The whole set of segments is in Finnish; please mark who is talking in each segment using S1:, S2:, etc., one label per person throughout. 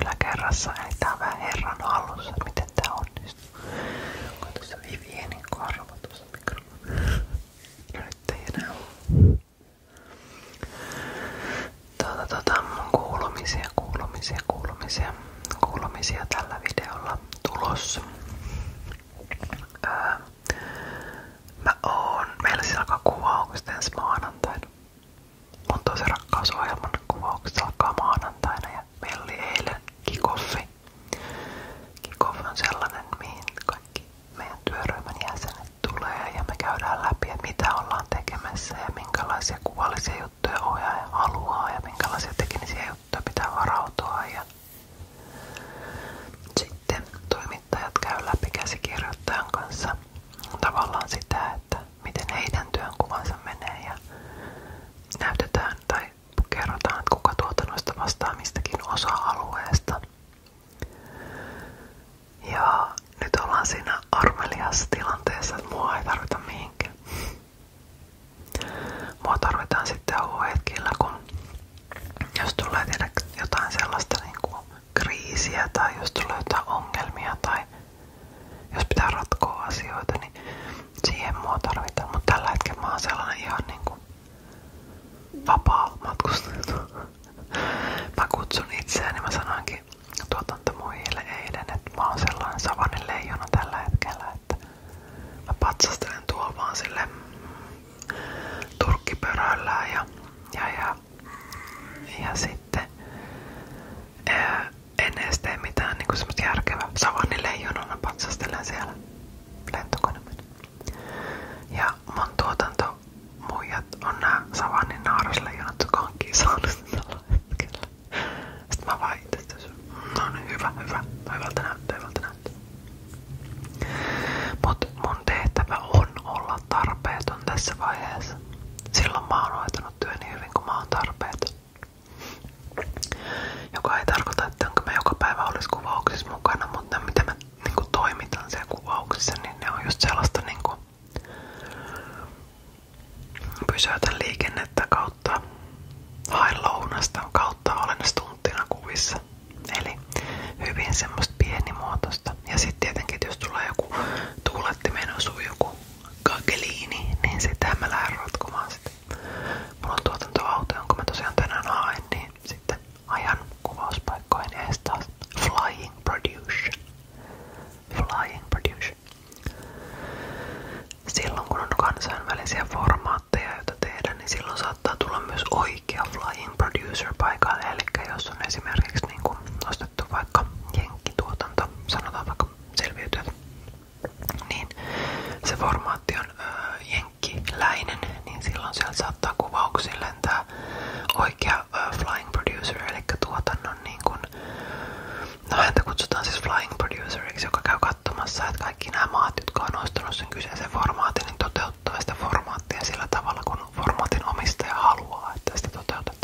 S1: yläkerrassa, eli tää on vähän herran hallussa, että miten tää onnistuu. Onko tässä Vivienin korva tuossa mikrofonissa? No nyt ei enää ole. Tuota, tuota, mun kuulumisia, kuulumisia, kuulumisia, kuulumisia tällä videolla tulossa. Öö, mä meillä siis alkaa kuvaukset ensi maanantaina. Mun tosi rakkausohjelman kuvaukset alkaa maanantaina ja Meillä oli eilen kikoffi. Kikoff on sellainen, mihin kaikki meidän työryhmän jäsenet tulee ja me käydään läpi, että mitä ollaan tekemässä ja minkälaisia kuvallisia juttuja ohjaaja haluaa ja minkälaisia teknisiä juttuja pitää varautua. Ja sitten toimittajat käy läpi käsikirjoittajan kanssa tavallaan sitä, että miten heidän työnkuvansa menee ja näytetään tai kerrotaan, että kuka tuotannosta vastaa mistäkin osa-alueesta. Ja nyt ollaan siinä armeliassa tilanteessa, että mua ei tarvita mihinkään. Mua tarvitaan sitten hetkillä, kun jos tulee tiedä jotain sellaista niin kuin kriisiä tai jos tulee jotain ongelmia tai jos pitää ratkoa asioita, niin siihen tarvitaan. Mutta tällä hetkellä sellainen ihan niinku vapaa matkustaja. Mä kutsun itseäni, mä sanoinkin tuotantomuille eilen, että mä sellainen savannen leijona tällä hetkellä, mä patsastelen tuolla vaan sille turkkipöröllään ja, ja, ja, sitten eh, en edes tee mitään niin semmoista järkevää. Savani leijonana patsastelen siellä lentokoneella. Ja mun tuotanto on nää Savannin naarasleijonat, jotka on kisannut tällä mä vaan no niin, hyvä, hyvä, hyvältä näyttää, hyvältä näyttää. Mut mun tehtävä on olla tarpeeton tässä vaiheessa. Silloin mä oon hoitanut työni hyvin, kun mä oon tarpeeton. Joka ei tarkoita, että onko joka päivä olisi mukana, mutta miten niinku, toimitan siellä kuvauksissa, niin ne on just sellaista niinku, pysäytän liikennettä kautta haen lounasta kautta olen stunttina kuvissa. Eli hyvin semmoista pienimuotoista. Ja sitten jos tulee joku tuulettimen osuu joku kakeliini, niin sitä mä lähden rotkomaan Mulla on tuotantoauto, jonka mä tosiaan tänään haen, niin sitten ajan kuvauspaikkoihin ees taas Flying Produce. Flying Produce. Silloin kun on kansainvälisiä formaatteja, joita tehdään, niin silloin saattaa tulla myös oikea Flying Producer paikalle. Eli jos on esimerkiksi niin kun nostettu vaikka jenkkituotanto, sanotaan vaikka selviytyöt niin se formaatti on öö, jenkkiläinen, niin silloin siellä saattaa kuvauksiin lentää oikea öö, flying producer, eli tuotannon niin kun, no häntä kutsutaan siis flying produceriksi, joka käy katsomassa, että kaikki nämä maat, jotka on ostanut sen kyseisen formaatin, niin toteuttaa sitä formaattia sillä tavalla, kun formaatin omistaja haluaa, että sitä toteutetaan.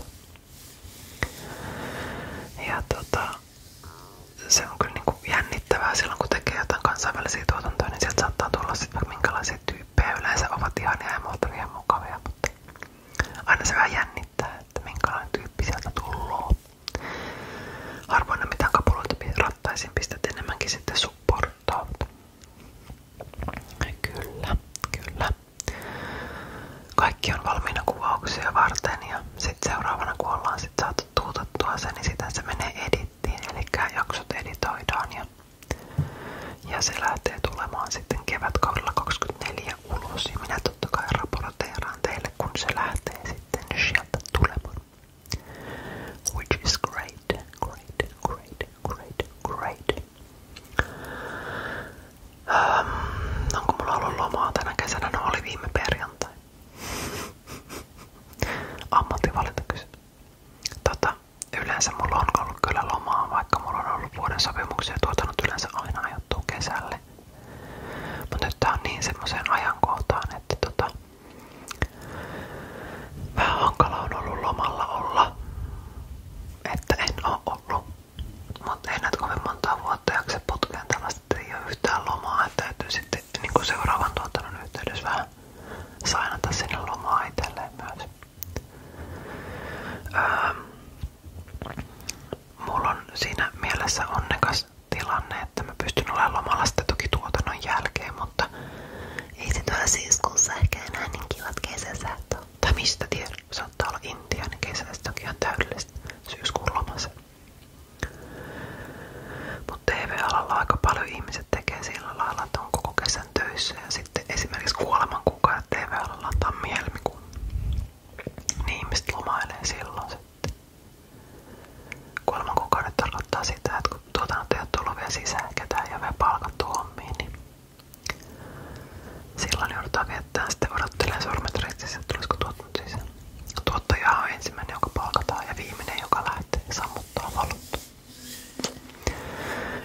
S1: Ja tota, se on kyllä niinku jännittävää silloin, kun tekee jotain kansainvälisiä tuotantoja, niin sieltä saattaa tulla sitten minkälaisia tyyppejä yleensä ovat ihania ja muuta ihan mukavia, mutta aina se vähän jännittää, että minkälainen tyyppi sieltä tullut. Harvoin ne mitään kapuloita rattaisiin pistät enemmänkin sitten supporttaa. Kyllä, kyllä. Kaikki on valmiina kuvauksia varten ja sitten seuraavana kuollaan sitten sit saatu tuutettua niin sitten se menee edittiin, eli jaksot editoidaan ja, ja se lähtee tulemaan sitten kevätkaudella 24 ulos ja minä totta kai raporteeraan teille, kun se lähtee sitten sieltä tulemaan. Which is great, great, great, great, great. onko mulla ollut lomaa tänä kesänä? No oli viime perjantai. Ammattivalinta kysymys. Tota, yleensä mulla on ollut kyllä lomaa, vaikka mulla on ollut vuoden sopimuksia tuotanut yleensä aina ajattua kesälle. Mutta nyt tää on niin semmoiseen ajankohtaan, että tota, vähän hankala on ollut lomalla olla. Että en oo ollut. Mutta ei näitä kovin montaa vuotta tuottajaksi putkeen tällaista, ei ole yhtään että sitten niin seuraavan tuotannon yhteydessä vähän sainata sinne myös. Öö, siinä mielessä onnekas tilanne, että mä pystyn olemaan lomalla sitten toki tuotannon jälkeen, mutta ei se tuolla syyskuussa ehkä enää niin kivat kesäsät Tai mistä tiedä, saattaa olla Intian niin kesästä toki ihan täydellistä syyskuun lomassa. Mutta TV-alalla ihmiset tekee sillä lailla, on koko kesän ja sitten esimerkiksi kuoleman kukaan TV-alalla tai mielmikuun. Niin ihmiset lomailee sitten. kun tuotannot ei ole sisään ketään ja vielä palkattu hommiin, niin silloin joudutaan viettämään sitten odottelee sormet ristissä, että tulisiko tuo mutta siis tuottaja on ensimmäinen, joka palkataan ja viimeinen, joka lähtee sammuttaa valot.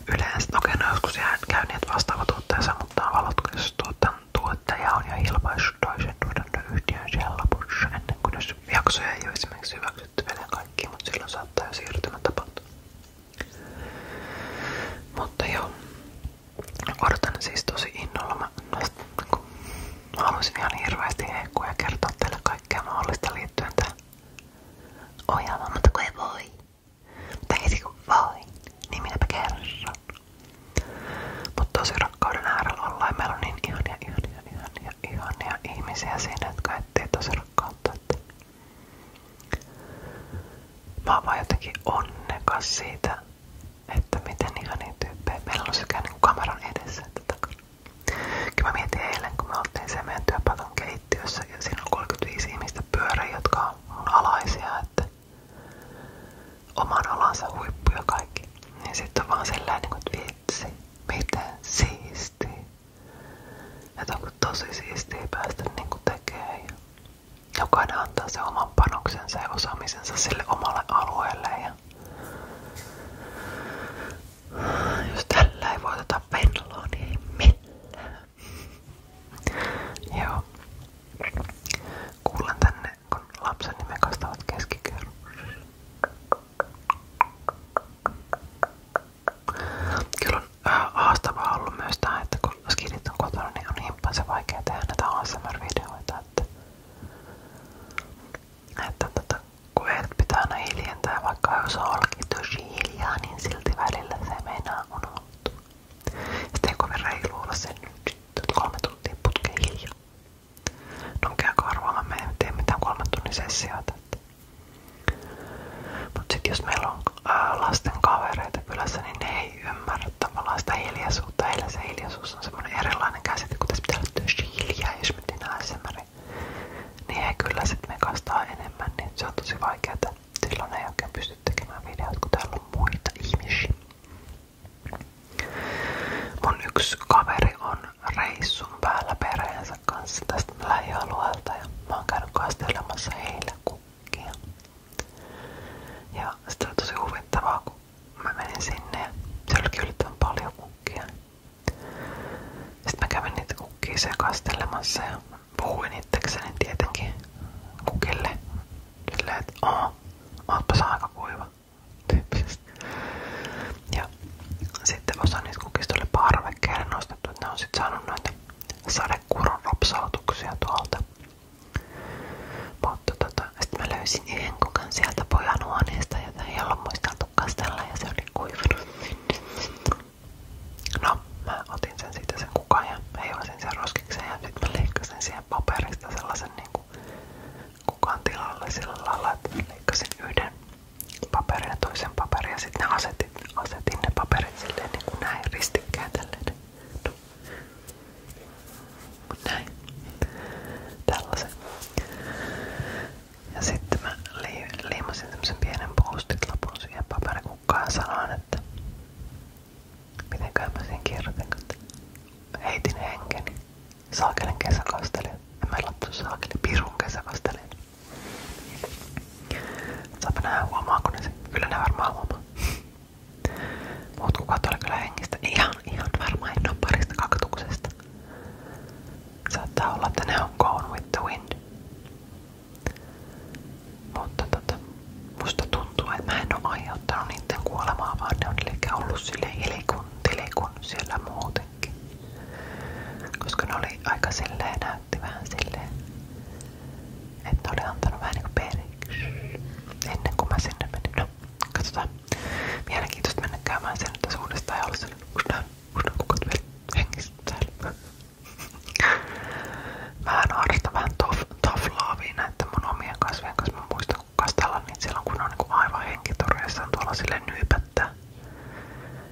S1: Yleensä, no, okei, no joskus jään käyneet niin, vastaava tuottaja sammuttaa valot, jos tuotan, tuottaja on jo ilmaissut toisen tuotantoyhtiön siellä lopussa ennen kuin jos jaksoja ei ole esimerkiksi hyväksytty vielä kaikki, mutta silloin saattaa jo siirtymä tapahtua. Mutta joo, odotan siis tosi innolla. Mä, kun Mä haluaisin ihan hirveästi heikkuja kertoa teille kaikkea mutta kun voi. Tai heti niin minäpä kerron. Mutta tosi rakkauden äärellä on niin ihania, ihania, ihania, ihania ihmisiä siinä, jotka etsii tosi rakkautta. Että mä onnekas siitä, että miten ihania tyyppejä. Meillä on niin kameran edessä että takana. Kyllä mä mietin eilen, kun me ja siinä on 35 ihmistä pyöriä, jotka että oman alansa huippuja kaikki. Niin sitten on sellainen, niinku, että vitsi, miten siistiä. Että onko tosi siistiä päästä niin kuin tekemään. Ja jokainen antaa sen oman panoksensa ja osaamisensa sille omalle alueelle. Ja jos tällä ei voiteta Venloa, niin ei millään. Joo. Kuulen tänne, kun lapsen nimen kastavat keskikerros. Kyllä on äh, haastavaa ollut myös tää, että kun skidit on kotona, niin on himppaisen vaikea tehdä näitä ASMR-videoita. Että että tota, kun pitää aina hiljentää, vaikka jos niin silti välillä se meinaa unohtua. Sitten ei kovin reilu olla No käykö arvaamaan, me ei tee mitään Mut sit jos äh, lasten kavereita kylässä, niin ne ei ymmärrä tavallaan sitä hiljaisuutta. Heillä se hiljaisuus on semmonen erilainen käsite, kun tässä pitää täyttyisi hiljaa, jos me tehdään SMR, niin he kyllä sitten mekastaa enemmän, niin se on tosi vaikeaa. Silloin ei muita ihmisiä. Mun yksi kaveri on reissun päällä perheensä kanssa tästä ja mä oon käynyt kastelemassa Ja sitä on tosi huvittavaa, kun mä menin sinne ja siellä paljon kukkia. Sitten mä kävin niitä kukkia sekastelemassa ja puhuin itsekseni tietenkin kukille. Silleen, että oo, ootpa sä aika Ja sitten osa niistä kukista oli parvekkeelle nostettu, että ne on sitten saanut noita sadekuron tuolta. Mutta tota, sitten mä löysin yhden kenkukan sieltä pojan huoneesta, jota ei ollut muisteltu kastella ja se oli kuivunut. No, mä otin sen siitä sen kukan ja heivasin sen roskikseen ja sitten mä leikkasin siihen paperista sellaisen niinku kukan tilalle sillä lailla, että leikkasin yhden paperin ja toisen paperin ja sitten asetin, asetin ne paperit silleen niin kuin näin ristikkäin tälleen. No näin. Tällaisen. Ja sitten mä liimasin tämmösen pienen ja sanoin, että mitenköhän mä sen kirjoitin, heitin henkeni. Saakelen kesäkastelin. Mä en lapsu saakeli, pirun kesäkastelin. Saapa nähdä huomaako ne Kyllä ne varmaan huomaa. Mut kukat oli kyllä hengistä. Ihan, ihan varmaan en oo parista kaktuksesta. Saattaa olla, on Gone with the Wind. Mutta tota, musta tuntuu, että mä en oo aiheuttanut niiden ne on liikaa ollut silleen ilikun, tilikun siellä muutenkin. Koska ne oli aika silleen, näytti vähän silleen, että oli antanut vähän niinku periksi ennen kuin mä sinne menin. No, Katsotaan. Mielenkiintoista mennä käymään sen tässä uudestaan ja olla sellainen uudestaan, uudestaan kukat vielä hengissä täällä. Mä harrastan vähän tough, tough lovea näiden mun omien kasvien kanssa. Mä muistan kun kastella niitä silloin kun ne on niinku aivan henkitoreissa tuolla silleen nyypättää.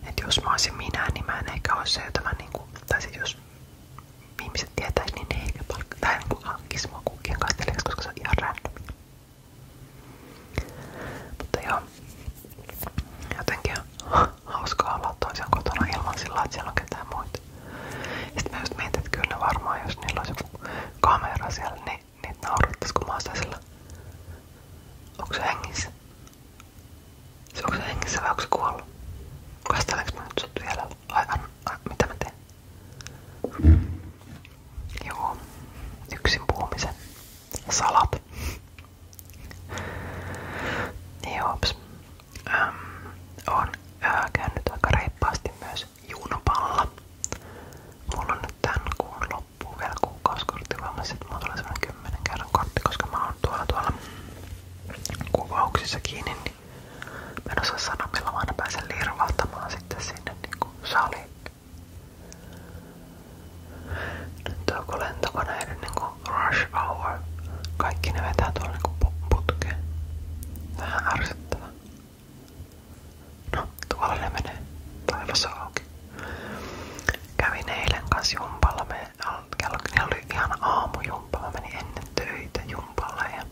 S1: Et jos mä olisin minä, niin mä en ehkä olisi se, jota mä niinku, tai sit jos ihmiset tietäis, niin ne ei ehkä palkkaa, tai niinku hankkis mua kukkien kastelijaksi, koska se on ihan random. Mutta joo, jotenkin hauskaa olla toisen kotona ilman sillä, että siellä on ketään muita. Sitten mä just mietin, että kyllä varmaan, jos niillä olisi joku kamera siellä, niin niitä naurattais, kun mä oon sillä. Onko se hengissä? Se onko se hengissä vai onko se kuollut? Kastelenko mä nyt sut vielä? Ai, an, ai, mitä mä teen? Joo, yksin puhumisen Salat. Joops. Öm, olen öö, käynyt aika myös juunopalla. Mulla on nyt kuun loppuun vielä kuukausikortti että mulla tulee semmonen kymmenen kerran kortti, koska mä oon tuolla tuolla kuvauksissa kiinni, niin mä en osaa sanoa milloin mä aina pääsen lirvauttamaan sitten sinne niin saliin. Nyt on kun lentokoneiden niinku rush hour. Kaikki ne vetää tuolla niinku putkeen. Vähän ärsyttävä. No, tuolla ne menee. Taivassa auki. Kävin eilen kanssa jumpalla. Me oli ihana aamujumppa. Mä menin ennen töitä jumpalle ja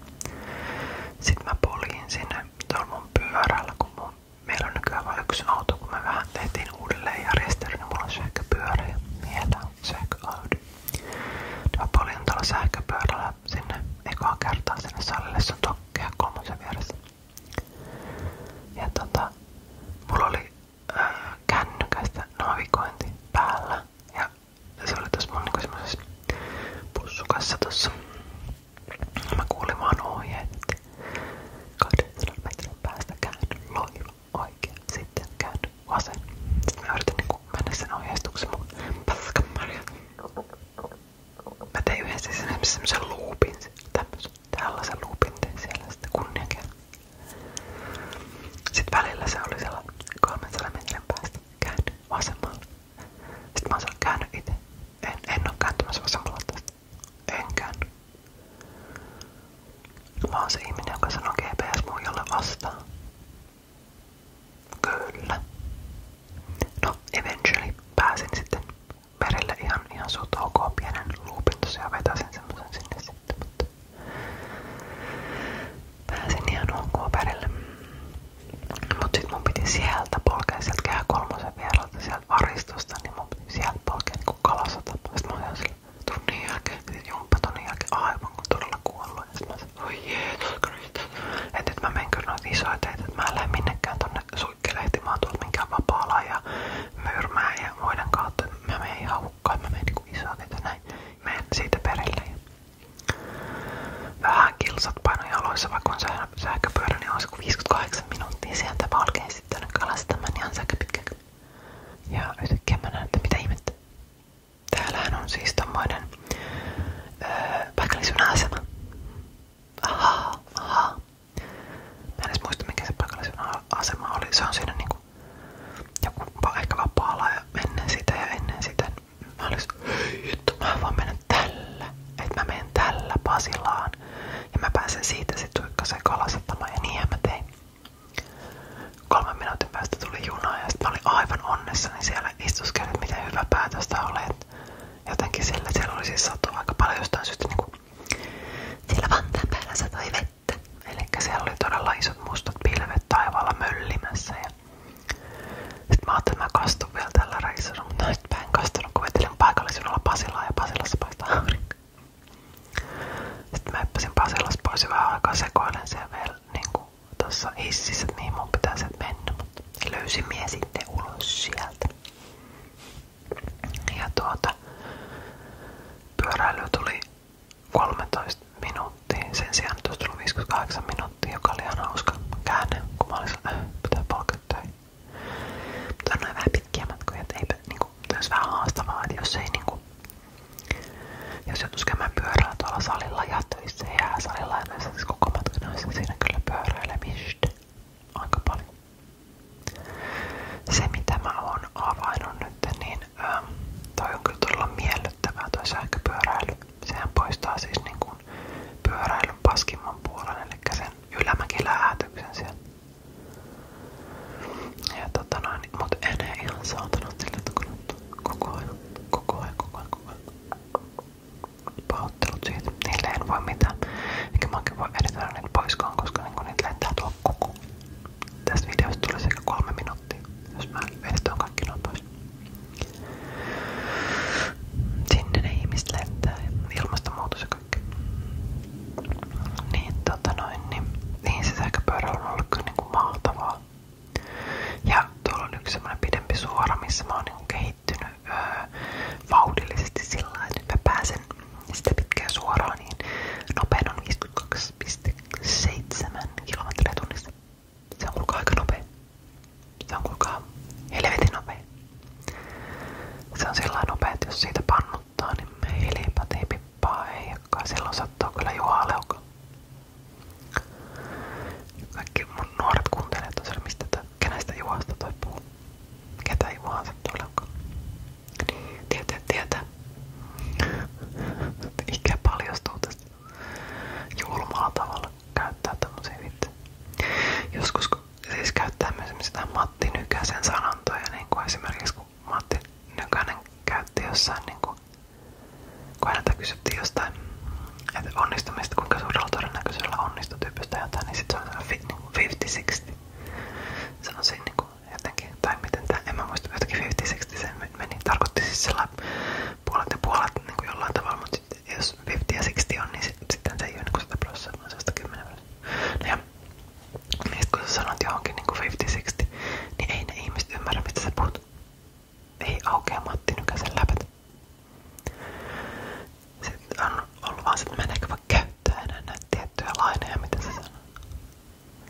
S1: sit mä poliin sinne tuolla mun pyörällä, kun mun Meillä on nykyään vain yksi auto, kun me vähän tehtiin uudelleen järjestelyä, niin mulla on sähköpyörä ja miehellä on sähköaudi. Mä paljon tällä sähköpyörällä sinne ekaa kertaa sinne salille, se on tokkea kolmosen vieressä. Ja tota, mulla oli äh, kännykästä navigointi päällä ja se oli tuossa mun niinku semmosessa pussukassa tossa Mä kuulin vaan ohjeet, että 200 metrin päästä käänny loiva oikein, sitten käänny vasen. Sitten mä yritin niinku mennä sen ohjeistuksen mun paskamarja. Mä tein yhden siis semmosen loopin, tämmösen, tällaisen loopin tein siellä sitten kunniakin. Sitten välillä se oli sellainen 300 metrin päästä käänny vasemmalle. Sitten mä oon käänny itse. En, en oo kääntymässä vasemmalla tästä. Enkään. Mä se ihminen, joka sanoo GPS Kyllä. No, eventually pääsin sitten merelle ihan, ihan suht pienen luupin tosiaan sinne sitten, mutta pääsin ihan ok merelle. Mut sit mun piti sieltä polkea sieltä kehä kolmosen vielä pelata sieltä varistosta, niin mun sieltä polkea niinku kalasota. Sitten mä olin sillä tunnin aivan kun todella kuollut. Ja sit mä sanoin, Että nyt mä menen kyllä noita isoja teitä, että mä en lähde minnekään ja myyrmää ja muiden kautta. Mä menen ihan hukkaan, mä menen niinku näin. Mä siitä perille. Vähän kilsat paino jaloissa, vaikka on sähköpyörä, niin on se 58 minuuttia sieltä valkeen lähdin sitten kalastamaan ihan niin säkäpitkäksi. Ja yhtäkkiä mä että mitä ihmettä. Täällähän on siis tommoinen öö, paikallisuna asema. Ahaa, ahaa. Mä en edes muista mikä se niinku joku ehkä vapaalla ja ennen sitä ja ennen sitä. Mä olisin, että mä voin mennä Että menen tällä Pasilaan. Ja mä pääsen siitä sitten suikkaseen kalasettamaan ja niinhän mä tein. Kolmen tuli juna ja aivan onnessa, niin siellä miten hyvä päätös tää oli. Et jotenkin siellä oli siis satua aika paljon jostain syystä niinku siellä Vantaan päällä vettä. Eli siellä oli isot mustat pilvet taivaalla möllimässä. Ja että mä kastun vielä tällä reissulla, mutta nyt mä en ja Pasilassa paistaa aurinko. Sitten mä hyppäsin Pasilas pois ja vähän aikaa sekoilen siellä vielä niinku tuossa hississä, että mihin mun pitäisi mennä, mutta löysin mie sitten ulos sieltä. Ja tuota, pyöräily tuli 13 minuuttia, sen sijaan tuossa tuli 58 minuuttia, joka oli ihan hauska käänne, kun mä olin sanonut, äh, pitää polkea töihin. Mutta on noin vähän pitkiä matkoja, että eipä niinku, olisi vähän haastavaa, että jos ei niinku, jos joutuisi käymään pyörällä tuolla salilla ja töissä ja salilla ja näissä siis koko matkan, niin siinä kyllä pyöräilemistä aika paljon. Se mitä mä oon avainnut nyt, niin ähm, toi on kyllä todella miellyttävää toi sähköpyöräily. Sehän poistaa siis niin kuin pyöräilyn paskimman puolen, eli sen ylämäkiläätyksen sieltä. Ja tota noin, mut en ei ihan saatana sille tukunut koko ajan, koko niille en voi mitään. Eikä mäkin voi editoida niitä poiskaan, koska niinku niitä lentää tuolla koko. Tästä tulee sekä kolme minuuttia, jos mä editoin kaikki noin Sinne ne ihmiset lentää. Ilmastonmuutos ja kaikki. Niin tota niin, niin se sähköpyörä on ollut kyllä niinku Ja tuolla on yksi semmonen pidempi suora, missä mä oon niinku kehittynyt sillä että nyt mä pääsen sitä pitkää suoraa, niin nopeen on kilometriä tunnissa. Se on kuulkaa nopea. Se on kuulkaa helvetin nopea. Se on sillä nopea, että jos siitä pannut ottaa, niin me hiilipatipippaa Kaikki mun nuoret kuuntelee tosiaan, kenestä Juhasta toi Ketä Juhaa sattuu Leuka. Niin, tietää, tietää. Ikä paljastuu tästä julmalla tavalla käyttää Joskus kun siis käyttää myös esimerkiksi Matti Nykäsen sanontoja, niin kuin esimerkiksi kun Matti Nykänen käytti jossain, niin kuin, kun häneltä kysyttiin jostain että onnistumista, kuinka suurella todennäköisellä onnistuu tyypistä jotain, niin sit se on niin 50-60. Se on siinä niin kuin jotenkin, tai miten tämä, en mä muista, jotenkin 50-60 se meni, tarkoitti siis sillä puolet ja puolet niin kuin jollain tavalla, mutta jos 50 ja 60 on, niin sit, sitten se ei ole niin kuin 100 prosenttia, vaan 110 prosenttia. No ja tehdä. Ja sit kun sä niinku niin ei ne ihmiset ymmärrä Ei aukea Matti Sitten on ollut että meneekö vaan käyttää enää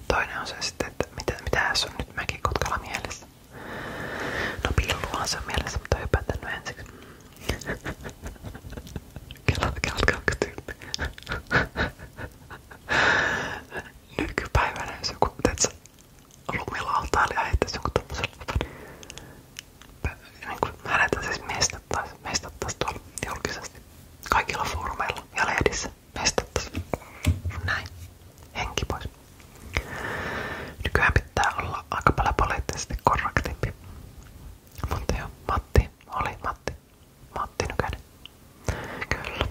S1: Toinen on se että mitä, mitä on nyt mäkin mielessä. No pilluhan se on mielessä, mutta hypätän ensiksi. Kello kaksi tyyppiä. Nykypäivänä jos joku teetkö, lumilautailija niin heittäisi jonkun tommosen niin hänetä siis mestattaisiin mestattaisi tuolla julkisesti kaikilla foorumeilla ja lehdissä mestattaisiin näin, henki pois nykyään olla aika paljon poliittisesti mutta joo, Matti oli Matti Matti Nykänen. Kyllä.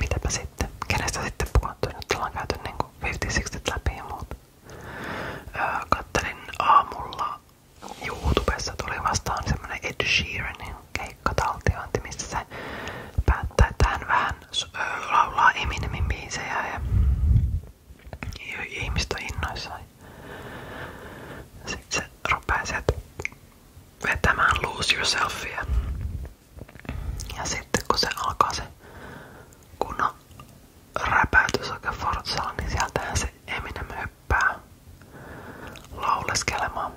S1: Mitäpä sitten? Kenestä sitten puhuttiin? Nyt ollaan käyty niinku 50-60 läpi ja muuta. Öö, kattelin aamulla YouTubessa tuli vastaan semmonen Ed Sheeranin keikkataltiointi, missä se päättää, että hän vähän öö, laulaa Eminemin biisejä ja ihmiset on innoissaan. Sitten se rupeaa sieltä vetämään lose yourselfia. Ja sitten kun se alkaa se kunnon räpäytys oikein Forzalla, niin sieltähän se Eminem hyppää lauleskelemaan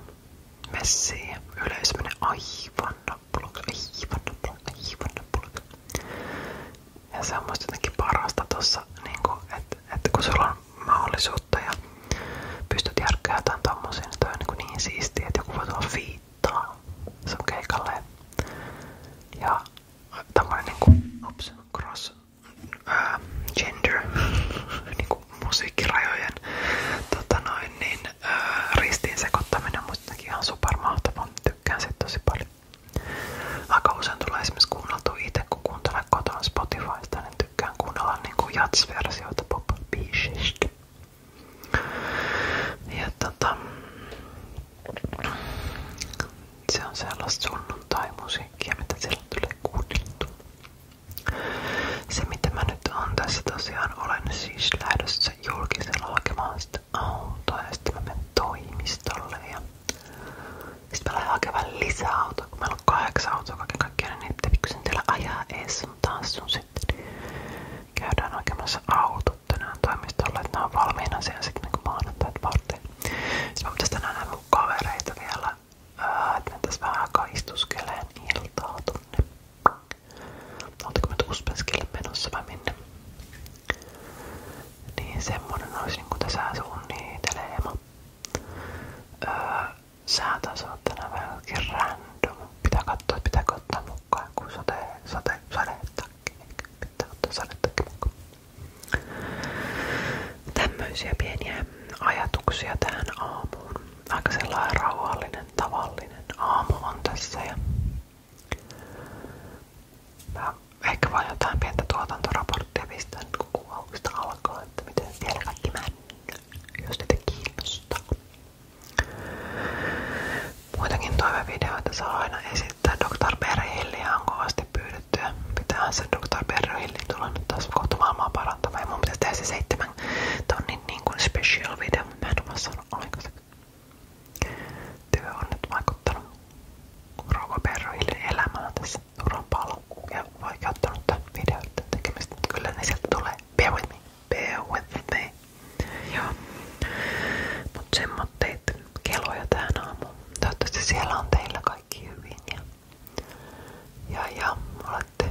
S1: messiin ja yleisö menee aivan nappulaksi, aivan nappulaksi, aivan nappulaksi. Ja se on musta jotenkin parasta niinku, että et kun sulla on mahdollisuutta ja pystyt järkkää jotain tommosia, se niin on niinku niin, niin että joku voi tulla fiittaa sun keikalle. Ja tämmönen niinku ups, cross gender niinku musiikkirajojen tota noin, niin, ää, ristiin sekoittaminen on musta ihan supermahtava. Tykkään siitä tosi paljon. Aika usein tulee esimerkiksi kuunneltua itse, niin tykkään kuunnella niinku jazz-versioita tota, se on sellaista sunnuntai-musiikkia, mitä silloin tulee kuunneltu. Se mitä mä nyt on tässä tosiaan, olen siis lähdössä julkisella hakemaan sitä autoa ja sitten mä menen toimistolle ja sitten mä lähdin hakemaan lisää autoa, kun meillä on kahdeksan autoa kaiken kaikkiaan, niin ei pikkusen teillä ajaa ees, mutta taas on sitten käydään hakemassa autot tänään toimistolla, että nämä on valmiina siellä sitten niin maanantaita varten. Sitten mä pitäisi tänään nähdä mun kavereita vielä, että me tässä vähän aikaa istuskeleen iltaa tunne. Oltiinko me Uspenskeille menossa vai minne? Niin semmonen olisi niinku tässä suunnitelema. Öö, sää taas on tänään vähän random. Pitää katsoa, että pitääkö ottaa mukaan kun sate, sate, sadetakki. Pitää ottaa sadetakki mukaan. Tämmöisiä pieniä ajatuksia tähän aamuun. Aika sellainen rauhallinen, tavallinen aamu on tässä. Ja Mä ehkä vaan jotain pientä tuotantoraporttia pistän niin kuvauksista alkaa, että miten siellä kaikki männä, jos niitä kiinnostaa. Muitakin toivevideoita saa aina esittää. Dr. Berhilliä on kovasti pyydetty ja pitäähän se Dr. Berhilli tulla nyt taas kohta maailmaa parantamaan. Ja mun pitäisi tehdä se seitsemän tonnin niin kuin special video, mutta mä en ole saanut ollenkaan työ on nyt vaikuttanut Roko elämään tässä uran paljon ja vaikeuttanut tämän videoiden tekemistä. Kyllä ne sieltä tulee. Bear with me. Bear with me. Joo. Mut semmoitteet keloja tähän aamuun. Toivottavasti siellä on teillä kaikki hyvin ja, ja, ja olette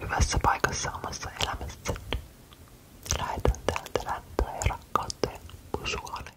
S1: hyvässä paikassa omassa elämässä. Lähetän täältä lämpöä ja rakkautta ja pusua.